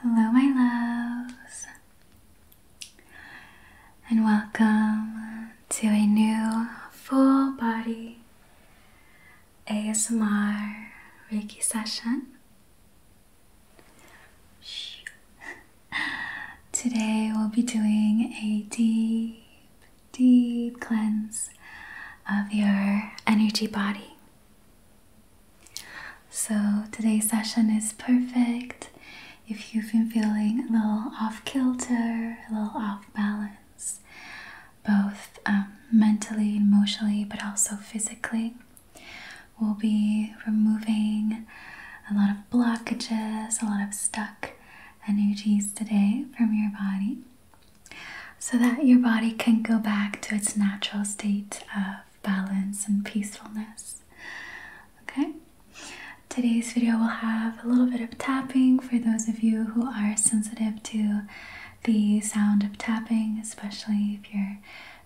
Hello, my loves, and welcome to a new full body ASMR Reiki session. Today, we'll be doing a deep, deep cleanse of your energy body. So, today's session is perfect if you've been feeling a little off kilter, a little off balance, both um, mentally, emotionally, but also physically. We'll be removing a lot of blockages, a lot of stuck energies today from your body so that your body can go back to its natural state of balance, and peacefulness. Okay? Today's video will have a little bit of tapping for those of you who are sensitive to the sound of tapping, especially if you're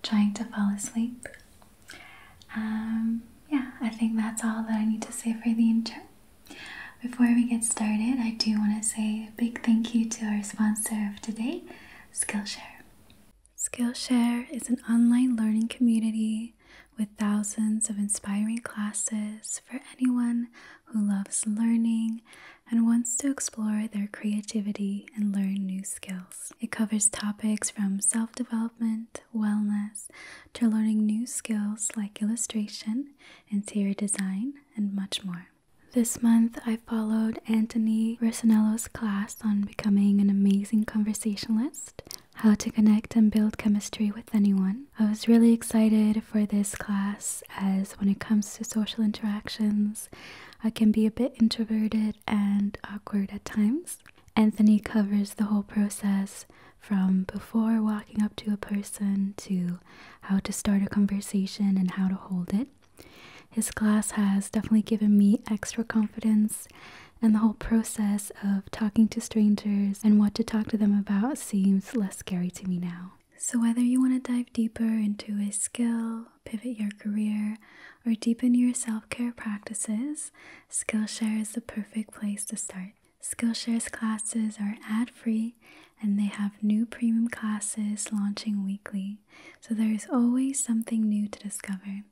trying to fall asleep. Um, yeah, I think that's all that I need to say for the intro. Before we get started, I do want to say a big thank you to our sponsor of today, Skillshare. Skillshare is an online learning community with thousands of inspiring classes for anyone who loves learning and wants to explore their creativity and learn new skills. It covers topics from self development, wellness, to learning new skills like illustration, interior design, and much more. This month, I followed Anthony Risanello's class on becoming an amazing conversationalist, how to connect and build chemistry with anyone. I was really excited for this class as when it comes to social interactions, I can be a bit introverted and awkward at times. Anthony covers the whole process from before walking up to a person to how to start a conversation and how to hold it. His class has definitely given me extra confidence, and the whole process of talking to strangers and what to talk to them about seems less scary to me now. So, whether you want to dive deeper into a skill, pivot your career, or deepen your self care practices, Skillshare is the perfect place to start. Skillshare's classes are ad free and they have new premium classes launching weekly so there is always something new to discover.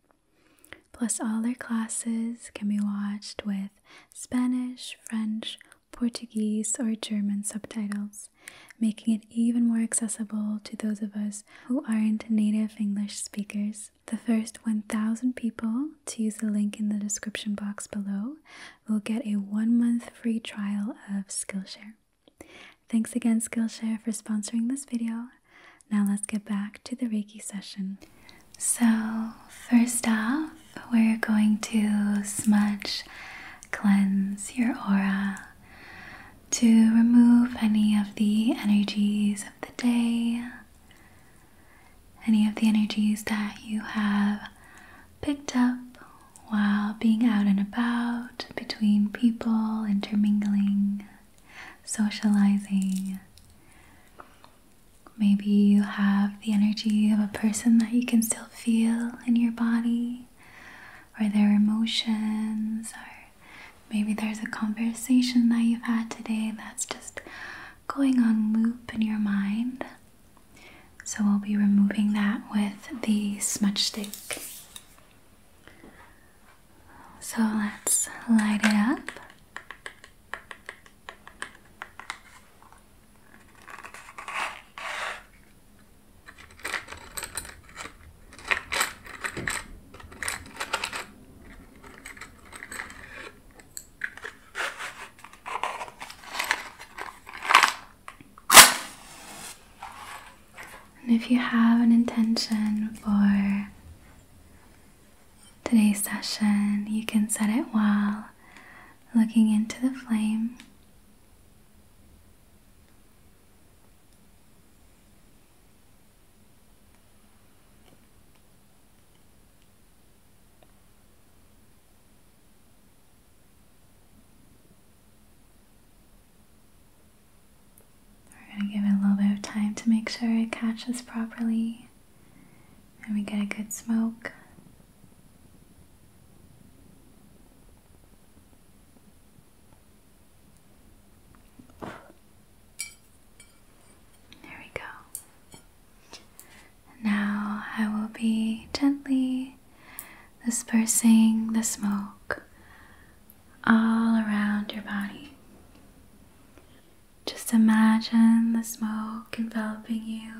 Plus, all their classes can be watched with Spanish, French, Portuguese, or German subtitles, making it even more accessible to those of us who aren't native English speakers. The first 1,000 people to use the link in the description box below will get a one month free trial of Skillshare. Thanks again Skillshare for sponsoring this video. Now let's get back to the Reiki session. So first off, we're going to smudge, cleanse your aura to remove any of the energies of the day, any of the energies that you have picked up while being out and about between people, intermingling, socializing. Maybe you have the energy of a person that you can still feel in your body, or their emotions, or maybe there's a conversation that you've had today that's just going on loop in your mind. So we'll be removing that with the smudge stick. So let's light it up. And if you have an intention for today's session, you can set it while looking into the flame. We're going to give it a little bit of time to make sure it catches properly and we get a good smoke. There we go. Now I will be gently dispersing the smoke all around your body. Just imagine the smoke enveloping you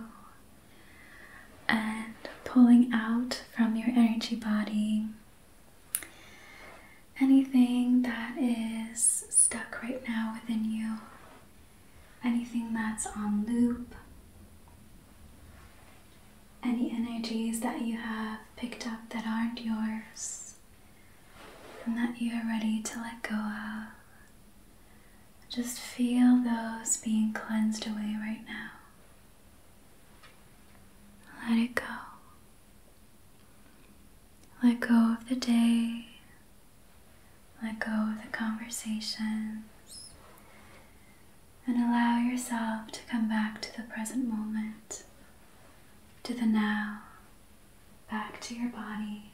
and pulling out from your energy body anything that is stuck right now within you, anything that's on loop any energies that you have picked up that aren't yours and that you are ready to let go of. Just feel those being cleansed away right now. Let it go. Let go of the day. Let go of the conversations. And allow yourself to come back to the present moment to the now, back to your body.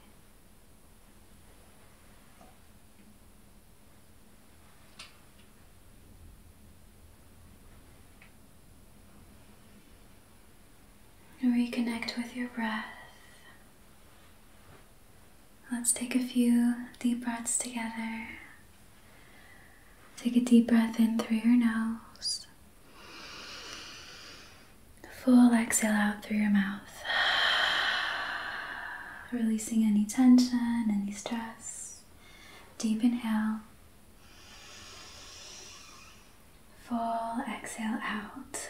Reconnect with your breath. Let's take a few deep breaths together. Take a deep breath in through your nose. Full exhale out through your mouth. Releasing any tension, any stress. Deep inhale. Full exhale out.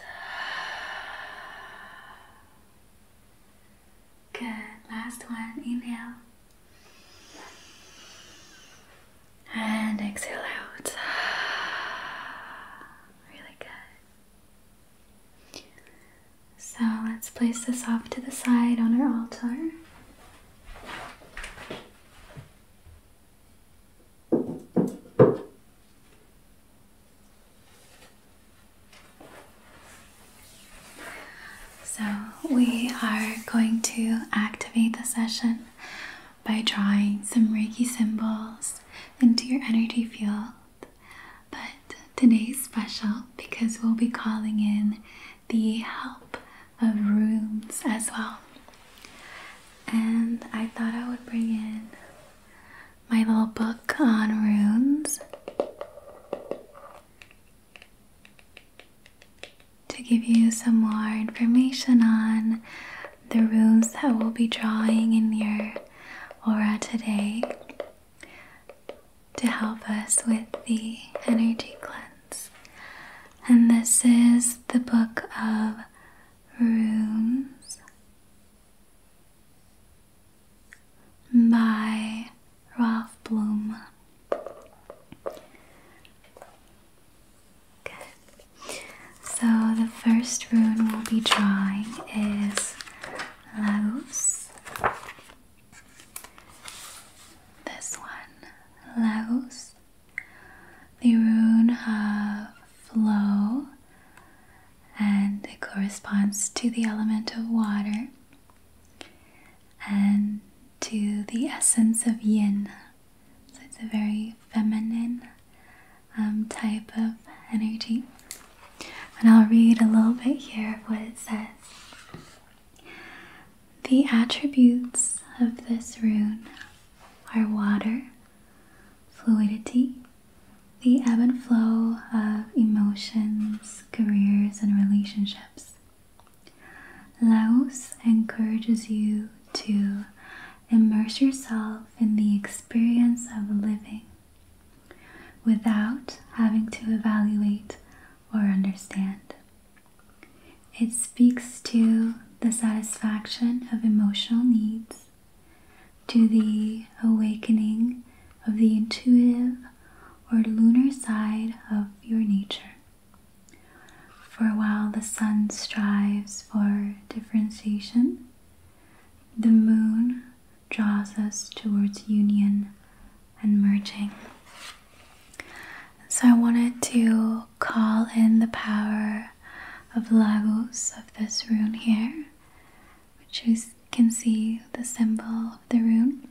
Good. Last one. Inhale. And exhale out. Really good. So let's place this off to the side on our altar. So, we are going to activate the session by drawing some Reiki symbols into your energy field. But today's special because we'll be calling in the help of runes as well. And I thought I would bring in my little book on runes to give you some more information on the rooms that we'll be drawing in your aura today to help us with the energy cleanse. And this is the book of rooms by Ralph Bloom. So the first rune we'll be drawing is Laos. This one, Laos. The rune of flow, and it corresponds to the element of water and to the essence of yin, so it's a very feminine um, type of energy. And I'll read a little bit here of what it says. The attributes of this rune are water, fluidity, the ebb and flow of emotions, careers, and relationships, Laos encourages you to immerse yourself in the experience of living without having to evaluate or understand. It speaks to the satisfaction of emotional needs, to the awakening of the intuitive or lunar side of your nature. For while, the sun strives for differentiation. The moon draws us towards union and merging. So, I wanted to call in the power of Lagos of this rune here, which you can see the symbol of the rune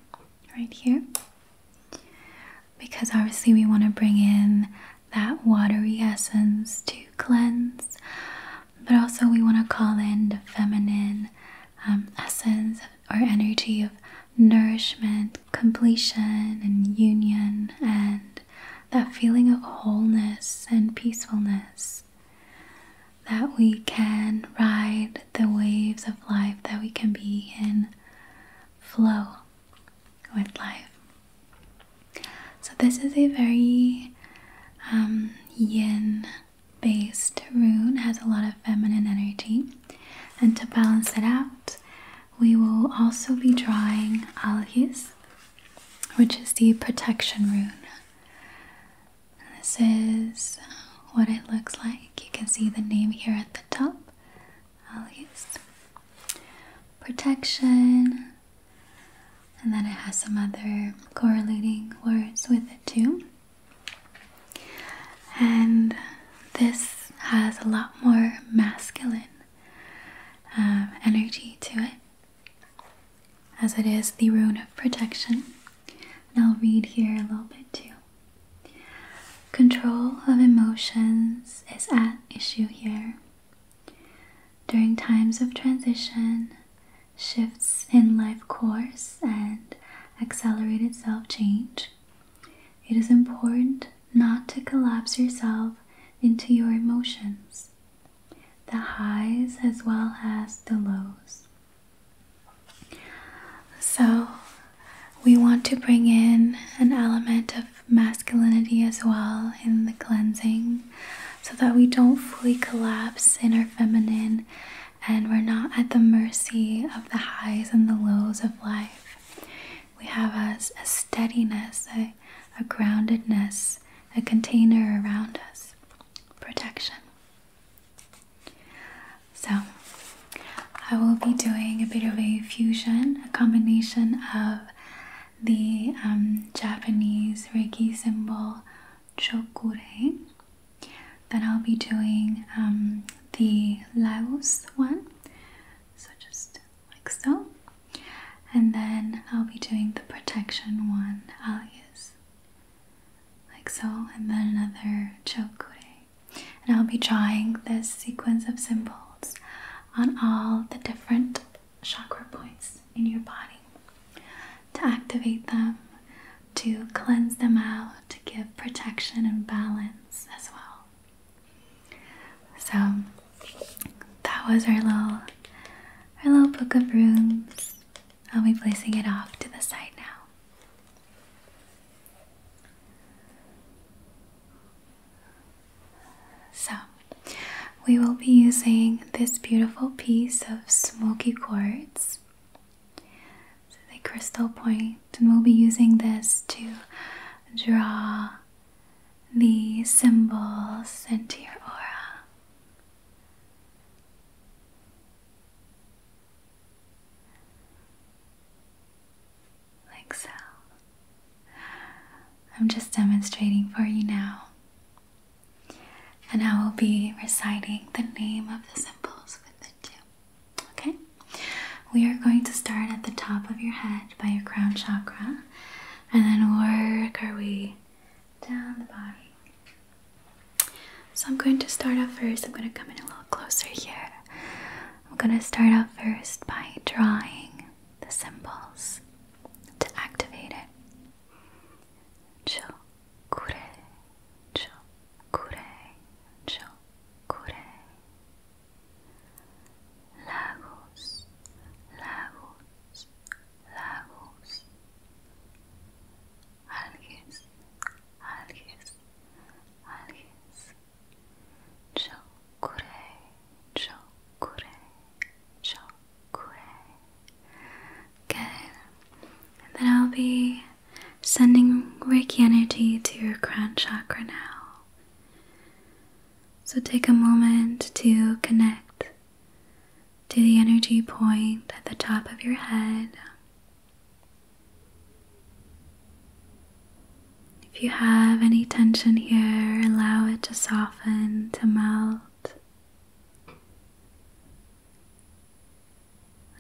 right here because obviously we want to bring in that watery essence to cleanse, but also we want to call in the feminine um, essence or energy of nourishment, completion, and union, and that feeling of wholeness and peacefulness. That we can ride the waves of life, that we can be in flow with life. So, this is a very um, yin based rune, has a lot of feminine energy. And to balance it out, we will also be drawing Algis, which is the protection rune. This is what it looks like. You can see the name here at the top i protection, and then it has some other correlating words with it too. And this has a lot more masculine um, energy to it, as it is the rune of protection. And I'll read here a little bit too. Control of emotions is at issue here. During times of transition, shifts in life course, and accelerated self change, it is important not to collapse yourself into your emotions, the highs as well as the lows. So, we want to bring in an element of masculinity as well in the cleansing so that we don't fully collapse in our feminine and we're not at the mercy of the highs and the lows of life. We have a, a steadiness, a, a groundedness, a container around us, protection. So, I will be doing a bit of a fusion, a combination of the um, Japanese Reiki symbol Chokure. Then I'll be doing um, the Laos one, so just like so. And then I'll be doing the protection one, alias, like so, and then another Chokure and I'll be drawing this sequence of symbols on all the different chakra points in your body to activate them, to cleanse them out, to give protection and balance as well. So that was our little our little book of rooms. I'll be placing it off to the side now. So, we will be using this beautiful piece of smoky quartz, the crystal point, and we'll be using this to draw the symbols into your aura like so. I'm just demonstrating for you now. And I will be reciting the name of the symbols with it too. Okay? We are going to start at the top of your head by your crown chakra and then work our way down the body. So I'm going to start off first. I'm going to come in a little closer here. I'm going to start out first by drawing the symbols to activate it. Chokure, chokure, chokure. Lagos, lagos, lagos. Alges, alges, alges. Chokure, chokure, chokure. Good. then I'll be sending Reiki energy to your crown chakra now. So take a moment to connect to the energy point at the top of your head. If you have any tension here, allow it to soften, to melt.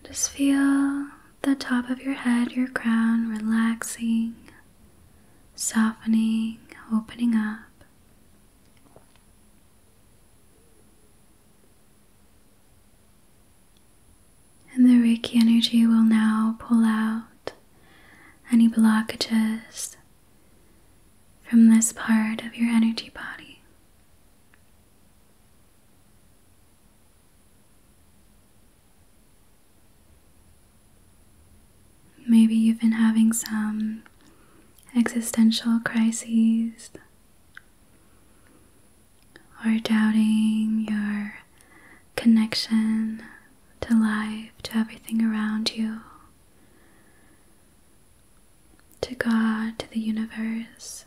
Just feel the top of your head, your crown relaxing, softening, opening up. And the Reiki energy will now pull out any blockages from this part of your energy body. Maybe you've been having some existential crises or doubting your connection to life, to everything around you, to God, to the universe.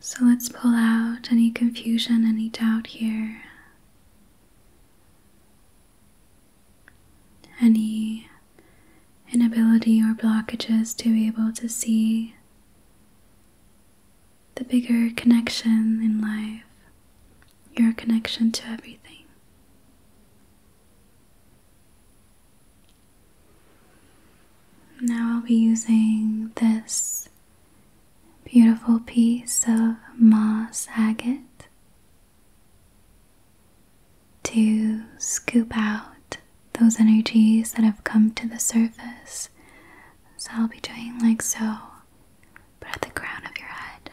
So let's pull out any confusion, any doubt here any inability or blockages to be able to see the bigger connection in life, your connection to everything. Now I'll be using this beautiful piece of moss agate to scoop out those energies that have come to the surface. So I'll be doing like so, but at the crown of your head.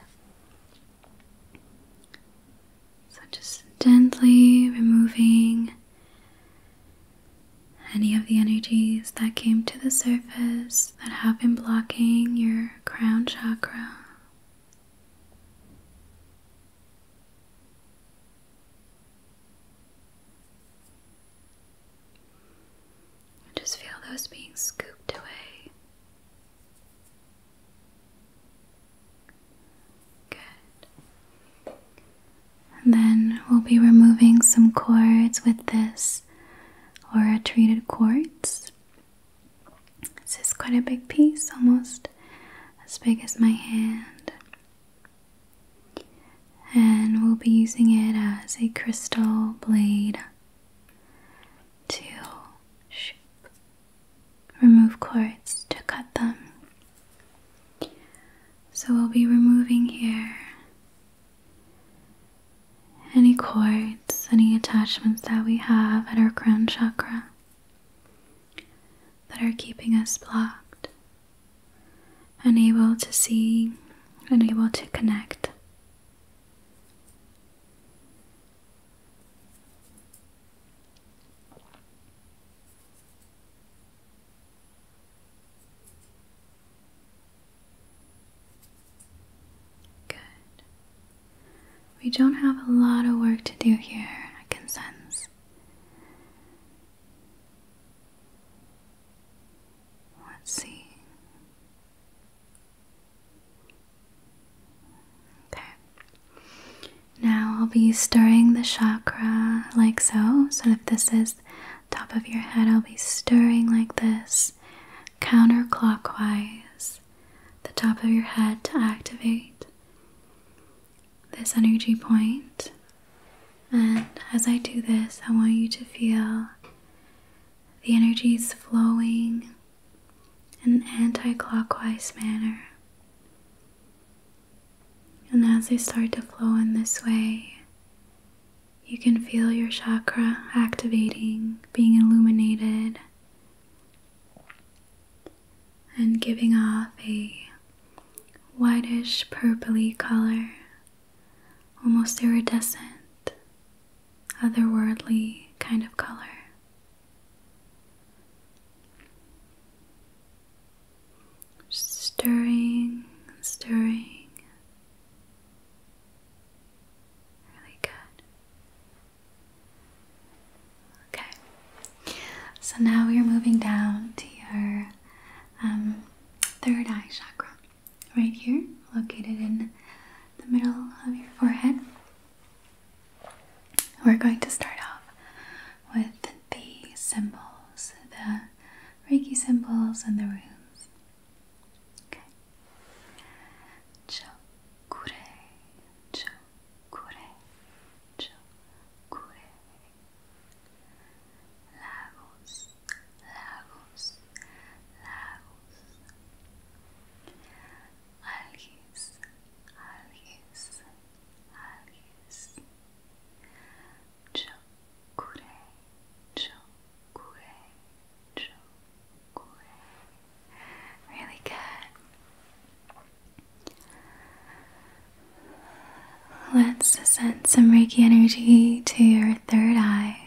So just gently removing any of the energies that came to the surface that have been blocking your crown chakra. Just feel those being scooped away. Good. then we'll be removing some cords with this aura treated quartz. This is quite a big piece, almost as big as my hand. And we'll be using it as a crystal blade to remove quartz to cut them. So we'll be removing here any cords, any attachments that we have at our crown chakra that are keeping us blocked, unable to see, unable to connect. Good. We don't have a lot of work to do here, I can sense. Let's see. Okay. Now I'll be stirring the chakra like so. So if this is top of your head, I'll be stirring like this counterclockwise the top of your head to activate this energy And as I do this, I want you to feel the energies flowing in an anti clockwise manner. And as they start to flow in this way, you can feel your chakra activating, being illuminated, and giving off a whitish purply color, almost iridescent, otherworldly kind of color. stirring and stirring. Really good. Okay, so now we are moving down to your um, third eye chakra, right here, located in the middle of your forehead. We're going to start off with the symbols, the Reiki symbols, and the runes. Okay. Chokure, chokure, chokure. Lagos, lagos, lagos. Algues, algues, algues. Chokure, chokure, chokure. Really good. Let's send some Reiki energy to your third eye.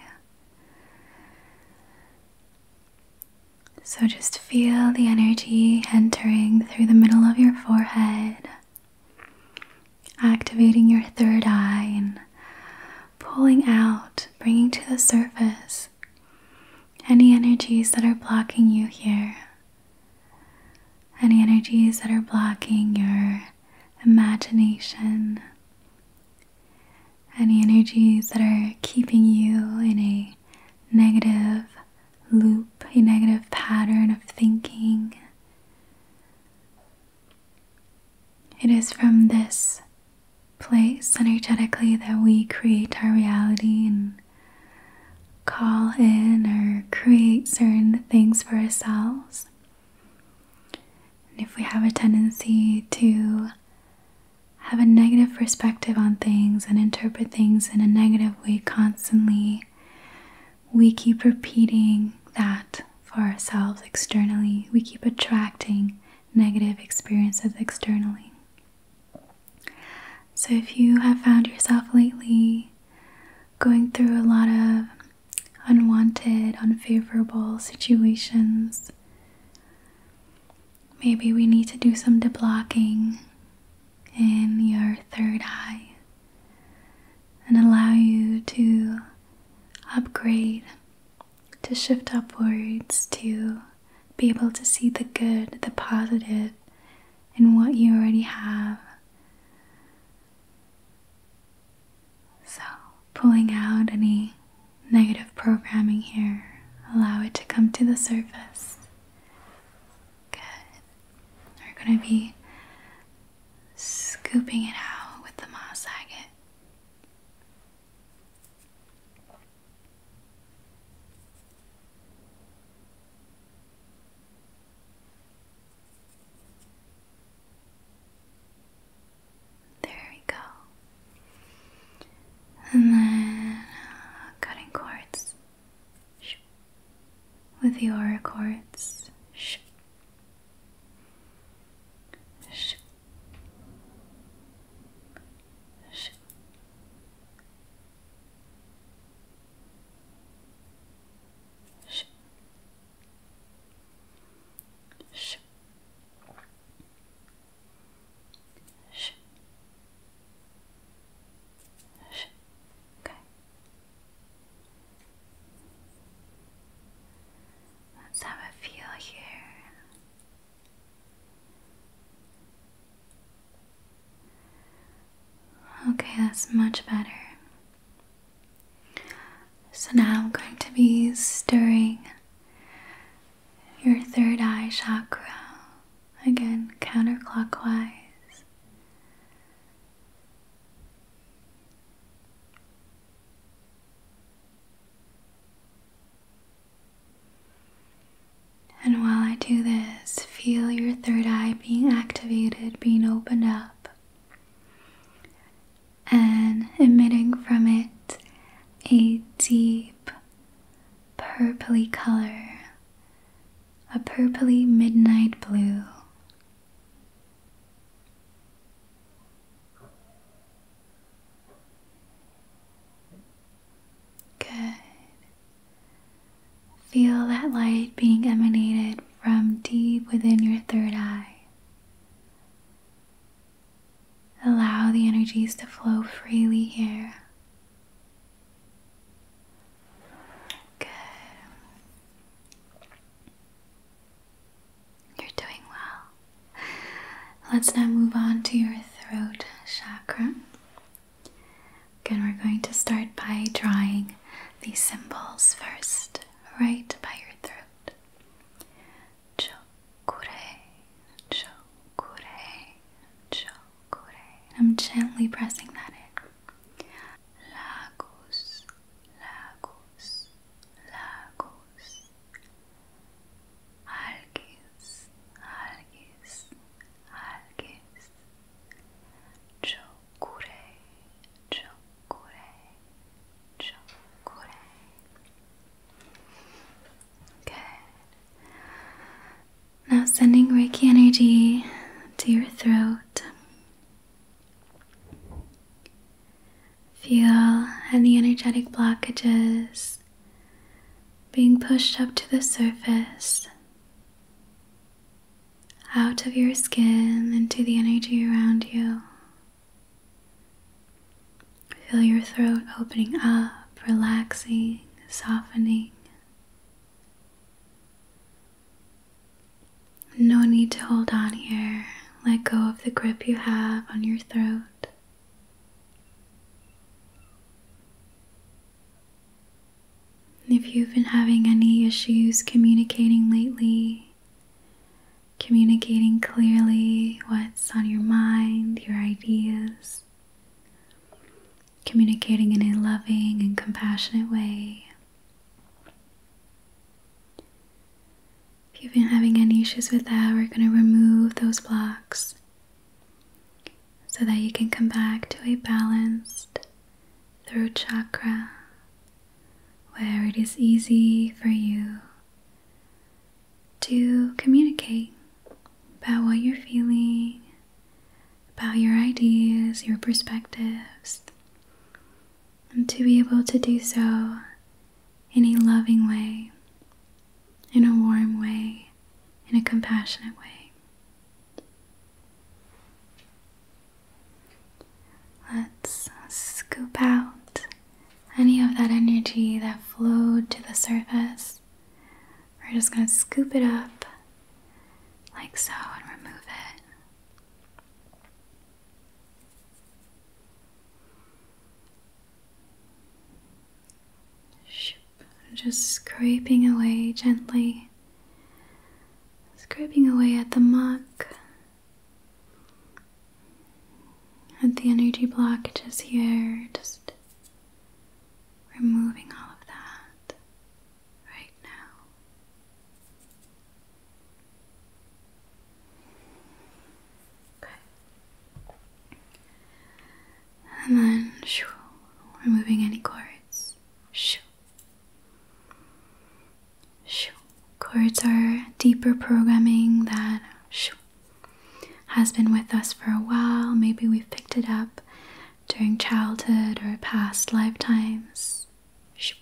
So just feel the energy entering through the middle of your forehead, activating your third eye pulling out, bringing to the surface any energies that are blocking you here, any energies that are blocking your imagination, any energies that are keeping you in a negative loop, a negative pattern of thinking. It is from this place energetically that we create our reality and call in or create certain things for ourselves. And if we have a tendency to have a negative perspective on things and interpret things in a negative way constantly, we keep repeating that for ourselves externally. We keep attracting negative experiences externally. So, if you have found yourself lately going through a lot of unwanted, unfavorable situations, maybe we need to do some deblocking in your third eye and allow you to upgrade to shift upwards, to be able to see the good, the positive in what you already have. So, pulling out any negative programming here, allow it to come to the surface. Good. We're going to be scooping it out with the moss agate. There we go. And then uh, cutting cords with the aura cords. Shh. Shh. Sh Sh Sh Let's have a feel here. Okay, that's much better. So now I'm going to be stirring your third eye chakra again counterclockwise. And while I do this, feel your third eye being activated, being opened up, and emitting from it a deep purply color, a purply midnight blue. Good. Feel that light being emanated from deep within your third eye. Allow the energies to flow freely here. Good. You're doing well. Let's now move on to your throat chakra. Again, we're going to start by drawing these symbols first, right by your throat. Chokure, chokure, chokure. I'm gently pressing that in. Lagos, lagos, lagos, Herkes, herkes, herkes çok kure, çok kure, Now sending Reiki energy to your throat. Feel any energetic blockages being pushed up to the surface, out of your skin into the energy around you. Feel your throat opening up, relaxing, softening. No need to hold on here. Let go of the grip you have on your throat. If you've been having any issues communicating lately, communicating clearly what's on your mind, your ideas, communicating in a loving and compassionate way. If you've been having any issues with that, we're going to remove those blocks so that you can come back to a balanced throat chakra where it is easy for you to communicate about what you're feeling, about your ideas, your perspectives, and to be able to do so in a loving way, in a warm way, in a compassionate way. Let's scoop out any of that energy that flowed to the surface. We're just going to scoop it up like so and remove it. Just scraping away gently, scraping away at the muck, at the energy blockages here, just removing all of that right now. Okay. And then shoo, removing any cords. Shoo. Shoo. Cords are deeper programming that shoo, has been with us for a while. Maybe we've picked it up during childhood or past lifetimes. Shoo.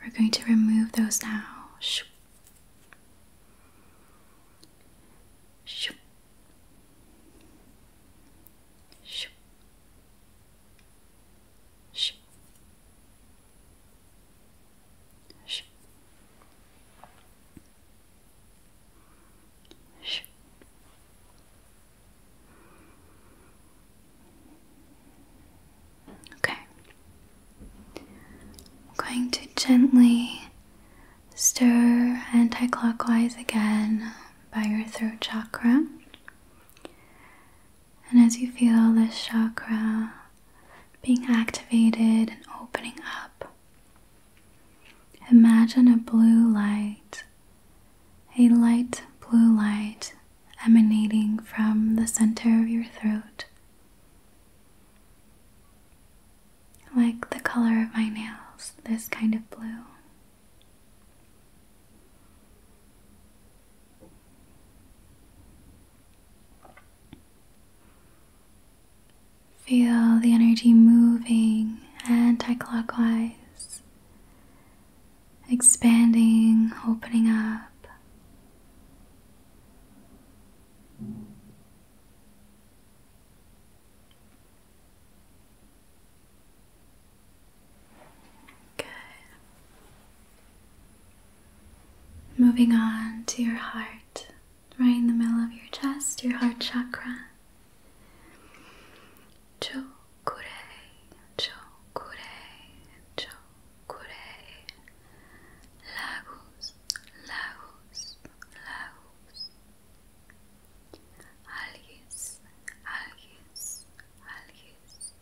We're going to remove those now. Shoo. Shoo. Shoo. Shoo. Shoo. Shoo. Okay. I'm going to gently Stir anti-clockwise again by your throat chakra. And as you feel this chakra being activated and opening up, imagine a blue light, a light blue light emanating from the center of your throat like the color of my nails, this kind of blue. Feel the energy moving anti clockwise, expanding, opening up. Good. Moving on to your heart, right in the middle of your chest, your heart chakra. Chokure, chokure, chokure. Lagos, lagos, lagos, Algues, algues, algues.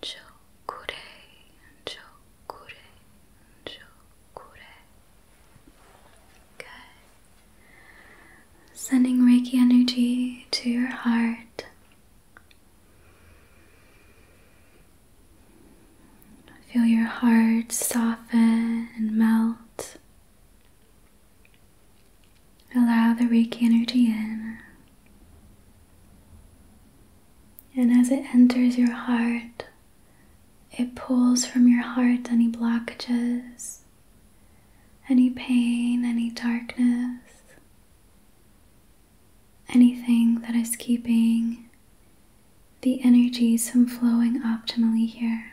Chokure, chokure, chokure. Good. Sending Reiki energy to your heart. Feel your heart soften and melt. Allow the Reiki energy in. And as it enters your heart, it pulls from your heart any blockages, any pain, any darkness, anything that is keeping the energies from flowing optimally here.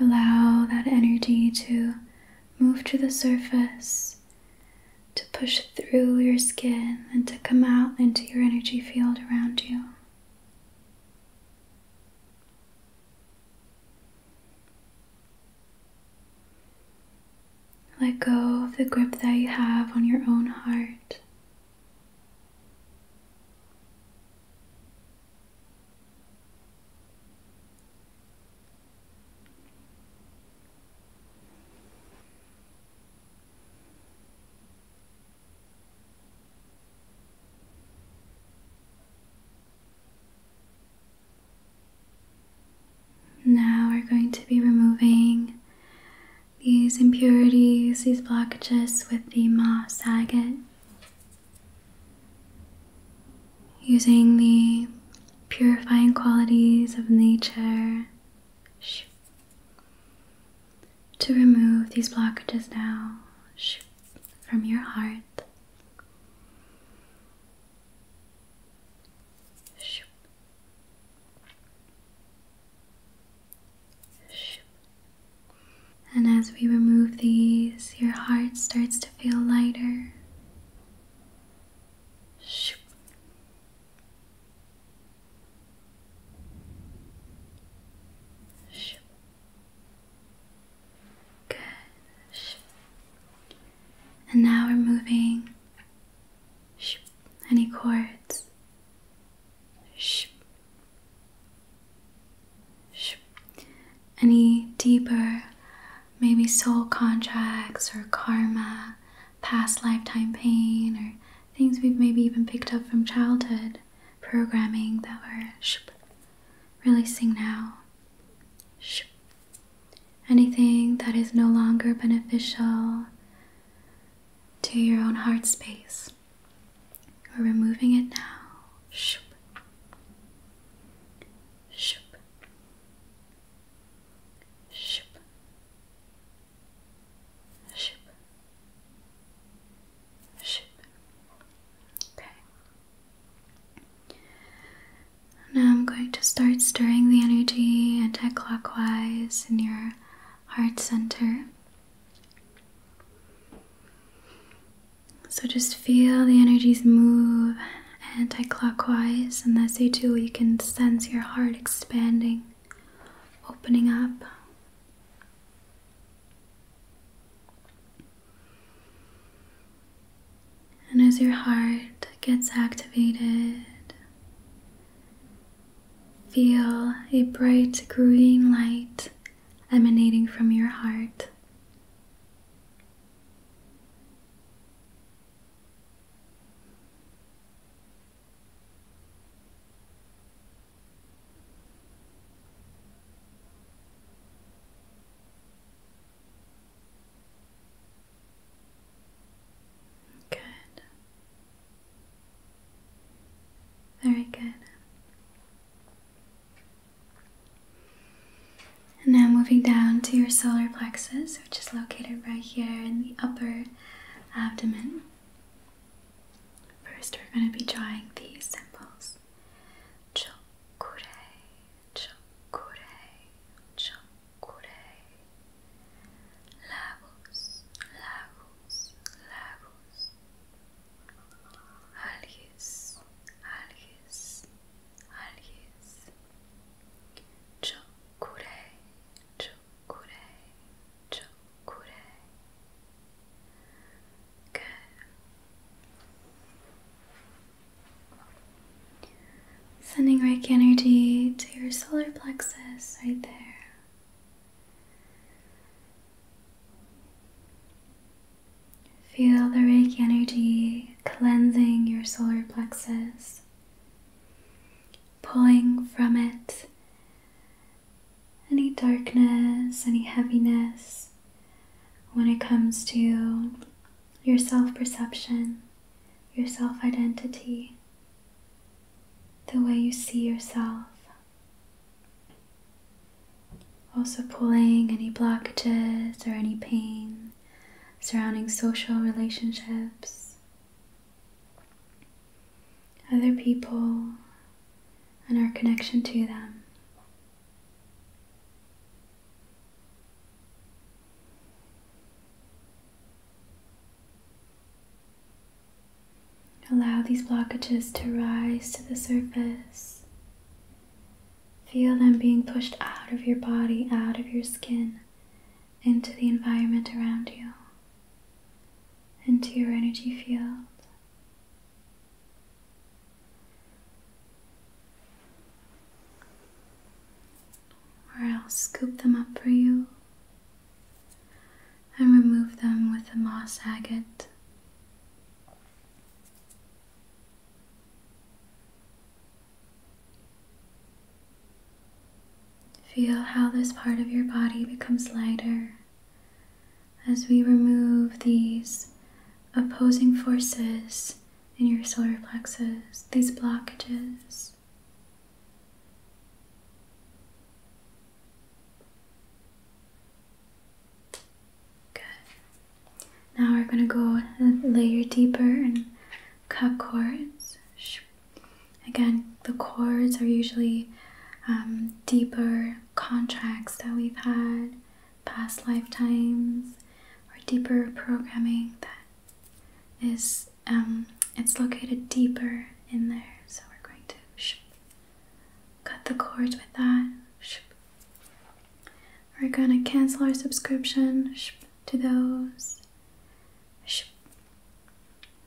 Allow that energy to move to the surface, to push through your skin, and to come out into your energy field around you. Let go of the grip that you have on your own heart. Now we're going to be removing these impurities, these blockages with the moss agate, Using the purifying qualities of nature to remove these blockages now from your heart. And as we remove these, your heart starts to feel lighter. Good. And now we're moving any chords? Shh. Shh. Any deeper, maybe soul contracts or karma, past lifetime pain, or things we've maybe even picked up from childhood programming that we're releasing now. Shh anything that is no longer beneficial to your own heart space. We're removing it now. Shoop. Shoop. Shoop. Shoop. Shoop. Okay. Now I'm going to start stirring the energy anti clockwise in your heart center. So just feel the energies move anti clockwise, and as you do, You can sense your heart expanding, opening up. And as your heart gets activated, Feel a bright green light emanating from your heart. Good. Very good. And now moving down to your solar plexus, which is located right here in the upper abdomen. First, we're going to be drawing these symbols. Curé. Lagos, lagos, lagos. Algues, algues, algues. Chocure, chocure, chocure. Good. Sending Reiki energy to your solar plexus right there. Feel the Reiki energy cleansing your solar plexus, pulling from it any darkness, any heaviness when it comes to your self perception, your self identity, the way you see yourself. Also, pulling any blockages or any pain surrounding social relationships, other people, and our connection to them. Allow these blockages to rise to the surface. Feel them being pushed out of your body, out of your skin, into the environment around you, into your energy field or I'll scoop them up for you and remove them with the moss agate. Feel how this part of your body becomes lighter as we remove these opposing forces in your solar plexus, these blockages. Now we're going to go a layer deeper and cut cords. Again, the cords are usually um, deeper contracts that we've had, past lifetimes, or deeper programming that is um, it's located deeper in there, so we're going to cut the cords with that. We're gonna cancel our subscription to those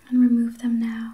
and remove them now.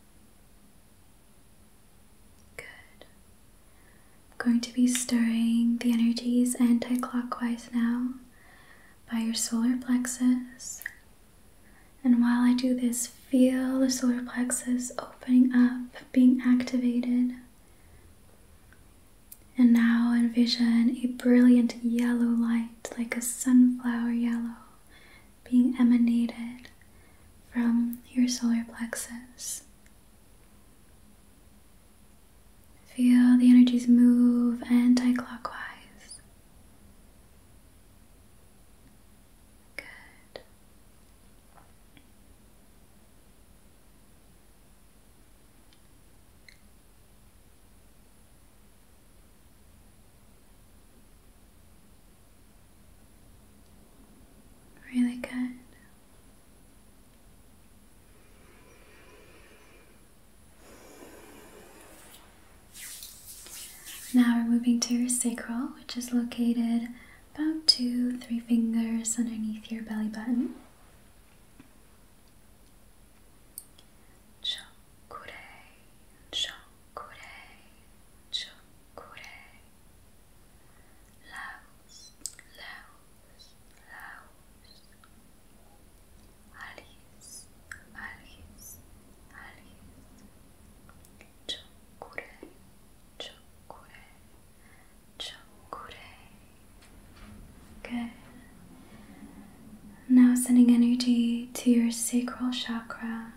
Good. I'm going to be stirring the energies anti clockwise now by your solar plexus. And while I do this, feel the solar plexus opening up, being activated. And now envision a brilliant yellow light, like a sunflower yellow, being emanated from your solar plexus. Feel the energies move anti clockwise. Good. Really good. Now we're moving to your sacral, which is located about two, three fingers underneath your belly button. Chokure, chokure, chokure, Laos, Laos, Laos. Alice, Alice, Alice. Chokure, chokure, chokure. Good. Now sending energy to your sacral chakra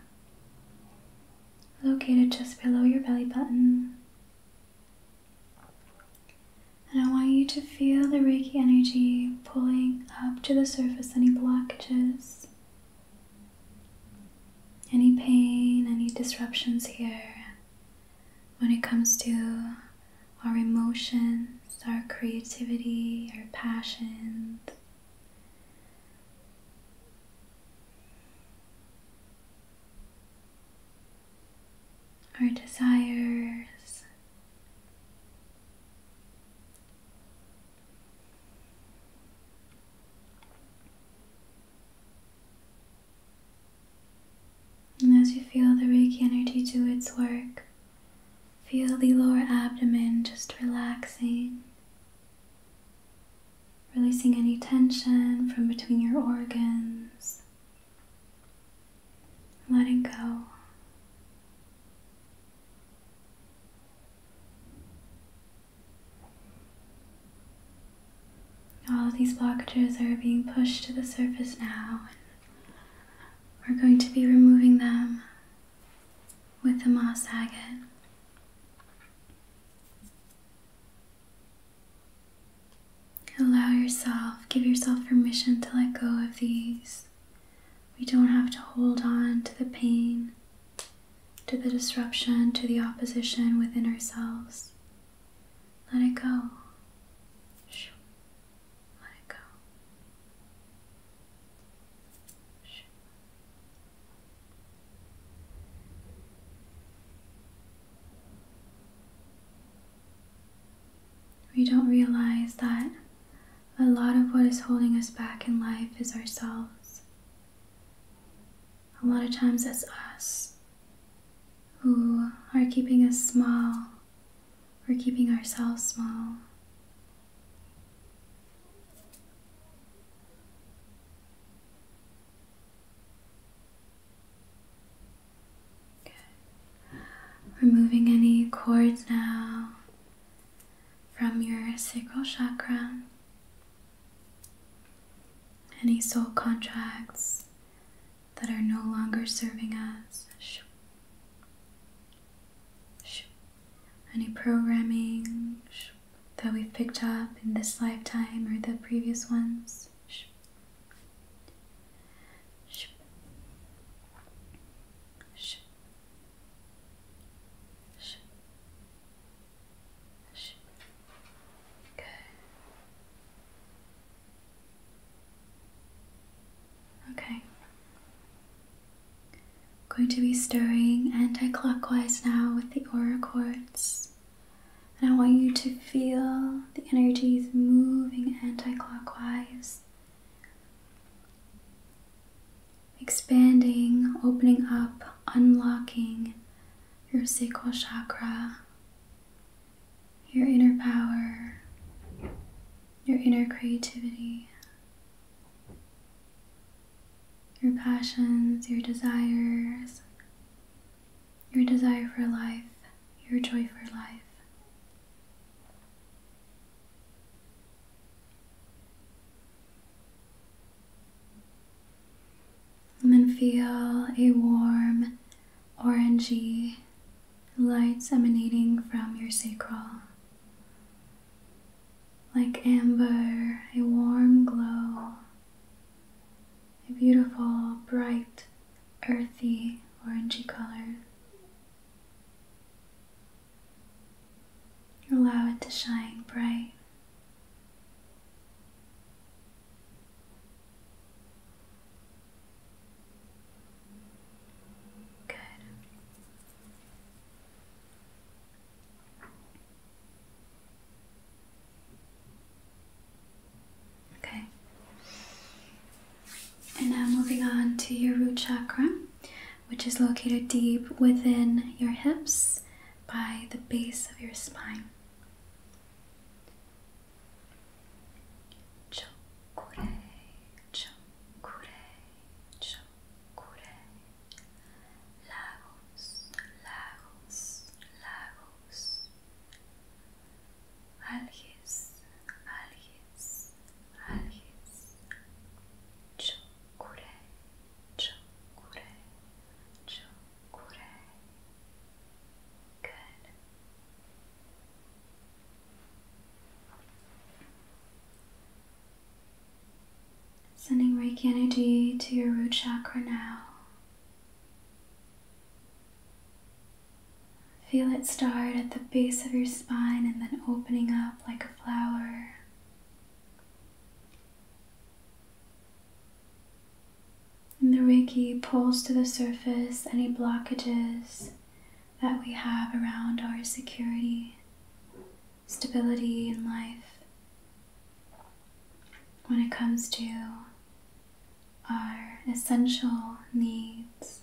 located just below your belly button. And I want you to feel the Reiki energy pulling up to the surface any blockages, any pain, any disruptions here when it comes to our emotions, our creativity, our passions, our desires. And as you feel the Reiki energy do its work, feel the lower abdomen just relaxing releasing any tension from between your organs, letting go. All of these blockages are being pushed to the surface now. We're going to be removing them with the moss agate. Allow yourself, give yourself permission to let go of these. We don't have to hold on to the pain, to the disruption, to the opposition within ourselves. Let it go. Let it go. We don't realize that a lot of what is holding us back in life is ourselves. A lot of times it's us who are keeping us small or keeping ourselves small. Removing any cords now from your sacral chakra, any soul contracts that are no longer serving us, any programming that we've picked up in this lifetime or the previous ones. Good. Okay going to be stirring anti-clockwise now with the aura cords. And I want you to feel the energies moving anti-clockwise. Expanding, opening up, unlocking your sacral chakra, your inner power, your inner creativity your passions, your desires, your desire for life, your joy for life. And feel a warm orangey light emanating from your sacral like amber, a warm glow, a beautiful, bright, earthy, orangey color. Allow it to shine bright. Good. Okay. And now moving on to your root chakra, which is located deep within your hips by the base of your spine lagos, lagos, lagos, alges, alges, alges, chokure, chokure, chokure. Good. Sending Reiki energy to your root chakra now. Feel it start at the base of your spine and then opening up like a flower. And the Reiki pulls to the surface any blockages that we have around our security, stability in life, when it comes to our essential needs.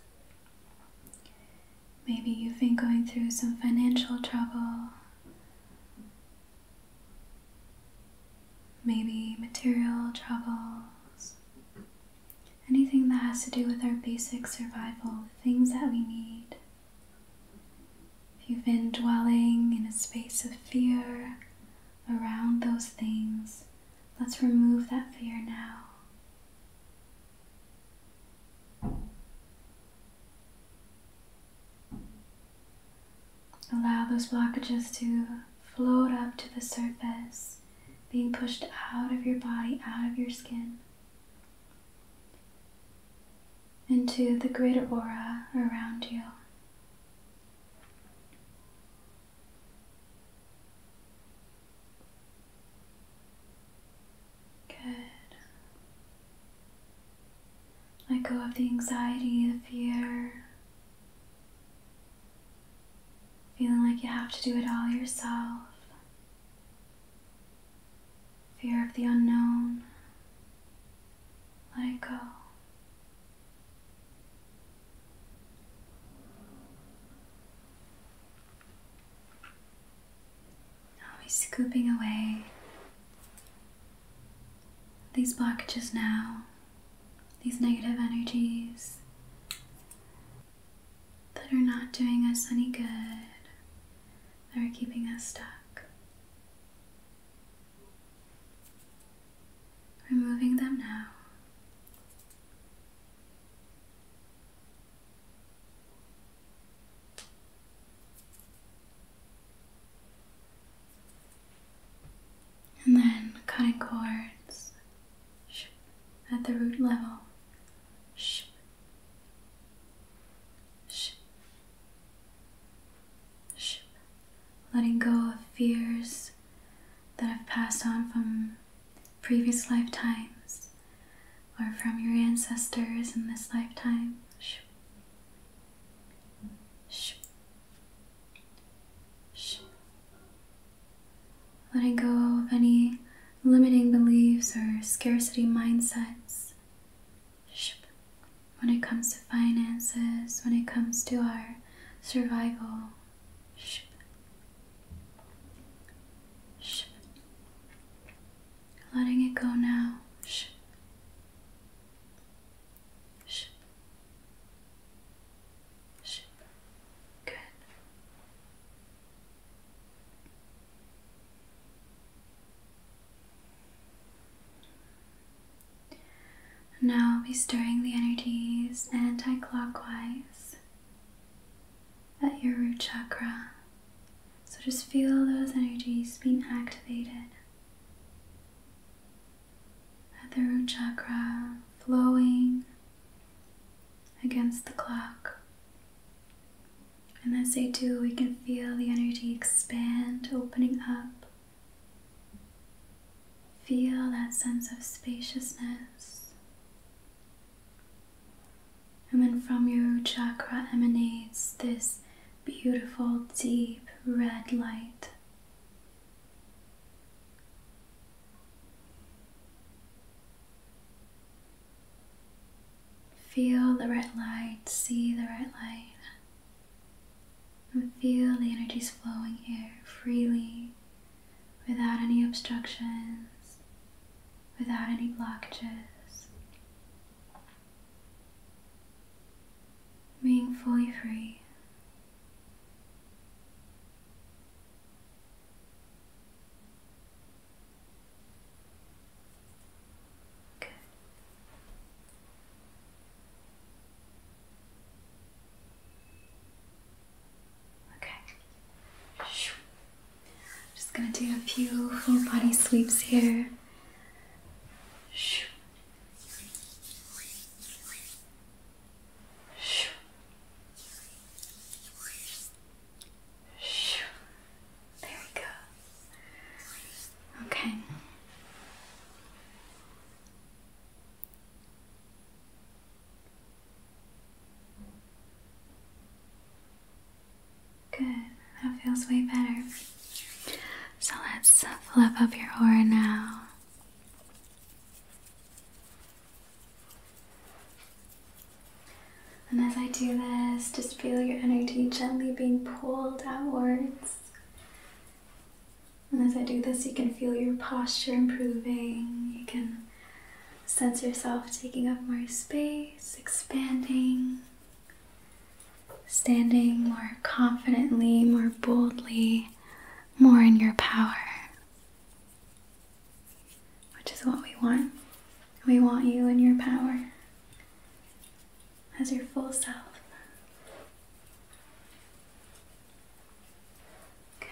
Maybe you've been going through some financial trouble, maybe material troubles, anything that has to do with our basic survival, the things that we need. If you've been dwelling in a space of fear around those things, let's remove that fear now. Allow those blockages to float up to the surface, being pushed out of your body, out of your skin into the greater aura around you. Good. Let go of the anxiety, the fear, feeling like you have to do it all yourself, fear of the unknown let go. Always scooping away these blockages now, these negative energies that are not doing us any good, that are keeping us stuck. Removing them now. And then cutting cords at the root level letting go of fears that have passed on from previous lifetimes or from your ancestors in this lifetime. Letting go of any limiting beliefs or scarcity mindsets when it comes to finances, when it comes to our survival, letting it go now. Good. Now I'll be stirring the energies anticlockwise at your root chakra. So just feel those energies being activated at the root chakra flowing against the clock. And as they do, we can feel the energy expand, opening up Feel that sense of spaciousness. And when from your chakra emanates this beautiful, deep red light. Feel the red light, see the red light. And feel the energies flowing here freely, without any obstructions, without any blockages. Being fully free. Good. Okay. I'm just gonna do a few full body sweeps here. There we go. Okay. Good. That feels way better. So let's flip up your aura now. And as I do this, just feel your energy gently being pulled outwards and as I do this, you can feel your posture improving. You can sense yourself taking up more space, expanding, standing more confidently, more boldly, more in your power, which is what we want. We want you in your power as your full self. Okay.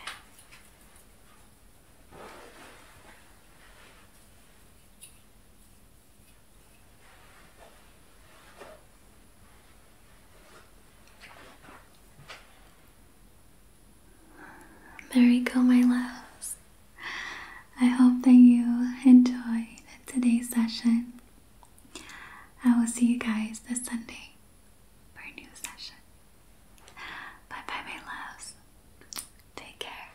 There you go, my loves. I hope that you enjoyed today's session. I will see you guys this Sunday for a new session. Bye bye, my loves. Take care.